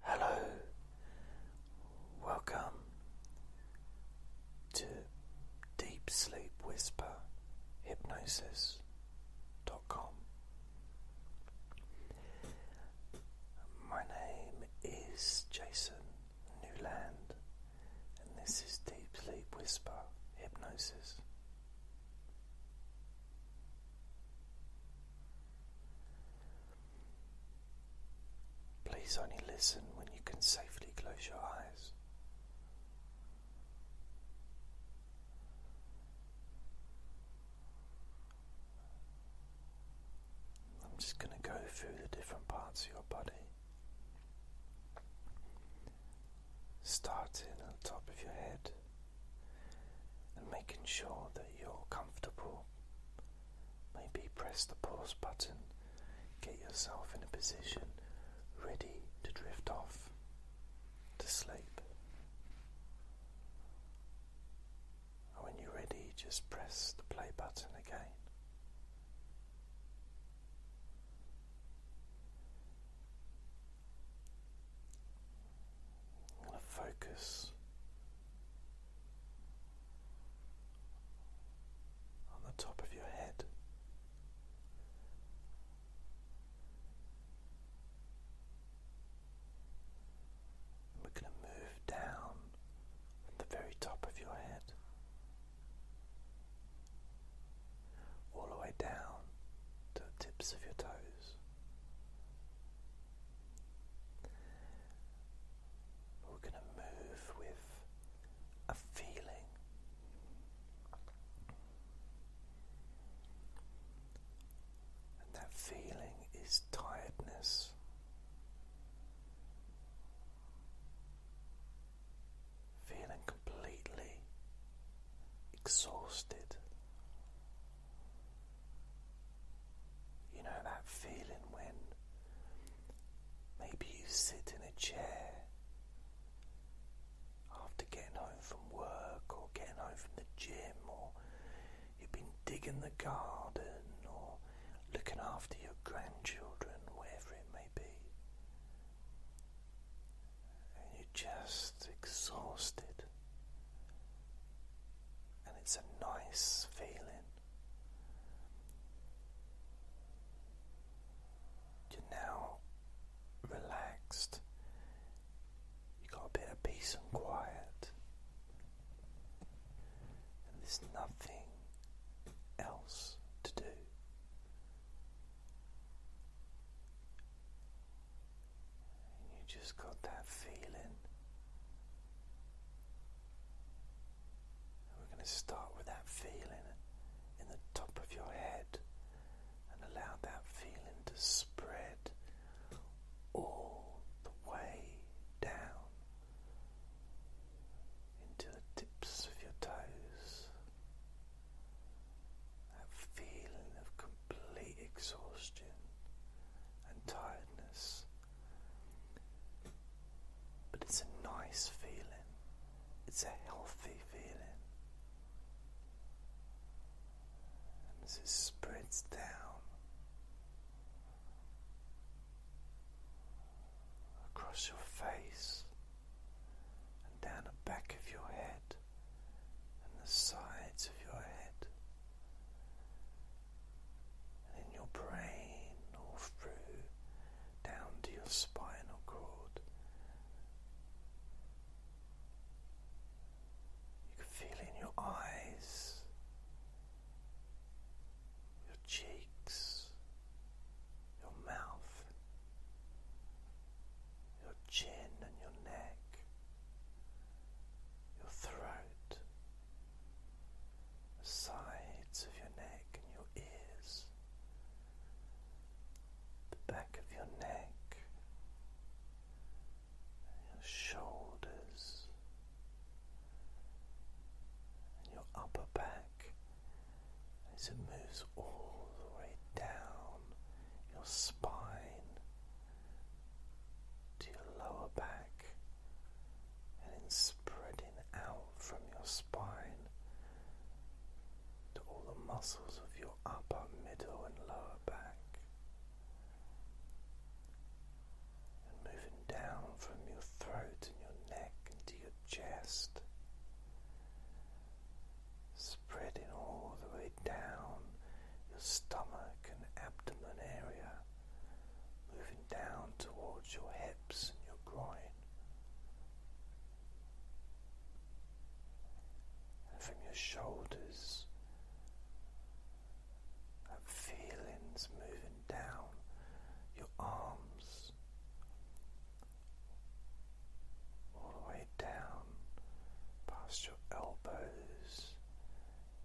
Hello, welcome to Deep Sleep Whisper Hypnosis.com. My name is Jason Newland, and this is Deep Sleep Whisper Hypnosis. Please only listen when you can safely close your eyes. I'm just going to go through the different parts of your body, starting at the top of your head and making sure that you're comfortable. Maybe press the pause button, get yourself in a position ready to drift off to sleep. And when you're ready, just press the play button again. I'm going to focus on the top of your head. We're going to move down from the very top of your head all the way down to the tips of your toes. We're going to move with a feeling and that feeling is tiredness. Feeling completely exhausted, you know that feeling when maybe you sit in a chair after getting home from work or getting home from the gym or you've been digging the garden or looking after your grandchildren, wherever it may be and you're just exhausted, and it's a nice feeling. You're now relaxed, you got a bit of peace and quiet, and there's nothing else to do. And you just got that feeling. we're going to start with that feeling in the top of your head and allow that feeling to spread all the way down into the tips of your toes that feeling of complete exhaustion and tiredness. But it's a nice feeling, it's a healthy feeling. And as it spreads down across your face and down the back of your head and the sides of your head and in your brain or through down to your spinal cord. You can feel in your eyes, your cheeks, your mouth, your chin and your neck, your throat, the sides of your neck and your ears, the back of your neck, your shoulders, your upper back as it moves all the way down your spine to your lower back and then spreading out from your spine to all the muscles of your upper, middle, and lower back. And moving down from your throat and your neck into your chest, spreading all the way down your stomach and abdomen area, moving down towards your hips and your groin. And from your shoulders, that feelings moving down your arms all the way down past your elbows,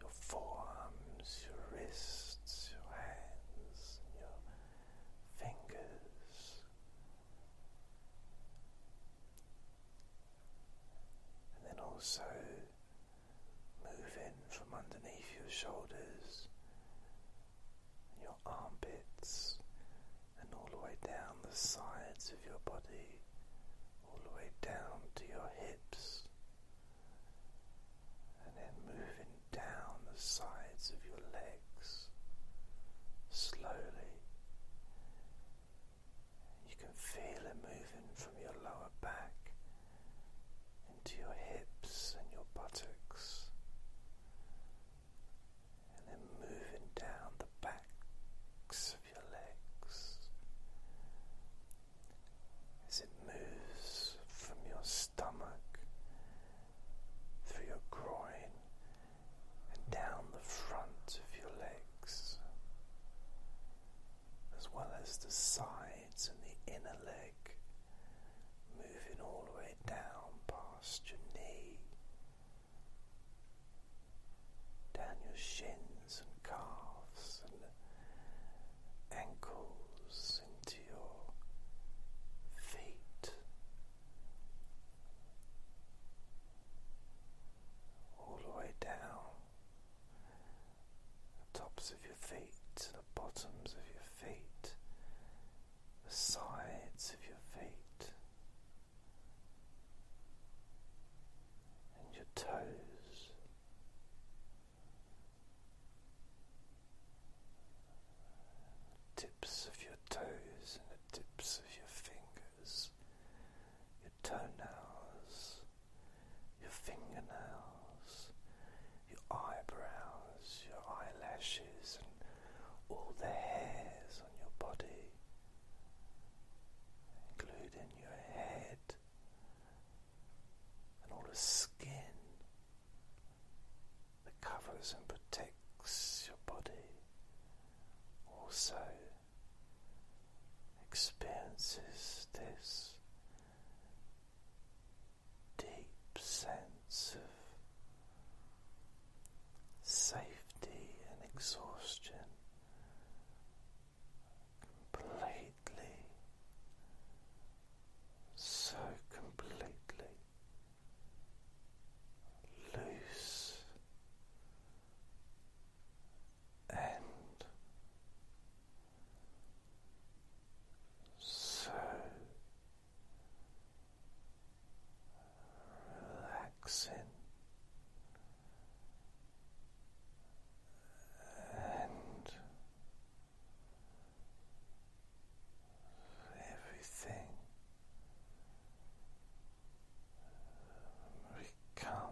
your forearms, your wrists, your hands, your fingers. And then also moving from underneath your shoulders your armpits, and all the way down the sides of your body, all the way down to your hips, and then moving down the sides of your legs slowly. You can feel it moving from your lower back into your hips and your buttocks, and then moving down the backs of your legs as it moves from your stomach through your groin and down the front of your legs. As well as the side sides and the inner leg, moving all the way down past your knee, down your shins and calves and ankles into your feet. All the way down the tops of your feet to the bottoms of your feet, the sides of your feet, and your toes. Tips of your toes and the tips of your fingers, your toenails, your fingernails, your eyebrows, your eyelashes, and all the hairs on your body, including your head and all the skin that covers and protects your body. Also experiences this deep sense of safety and exhaustion completely, so completely loose and so relaxing and everything becomes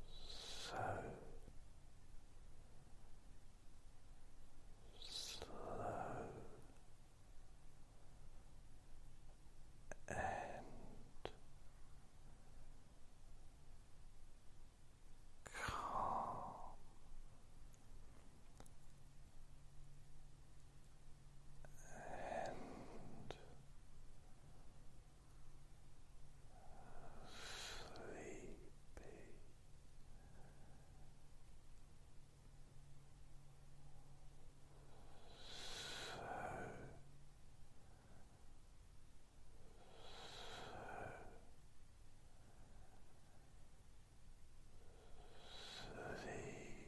so slow and calm and sleepy. So, so sleepy.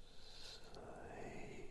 Sleepy. Sleep. Sleep.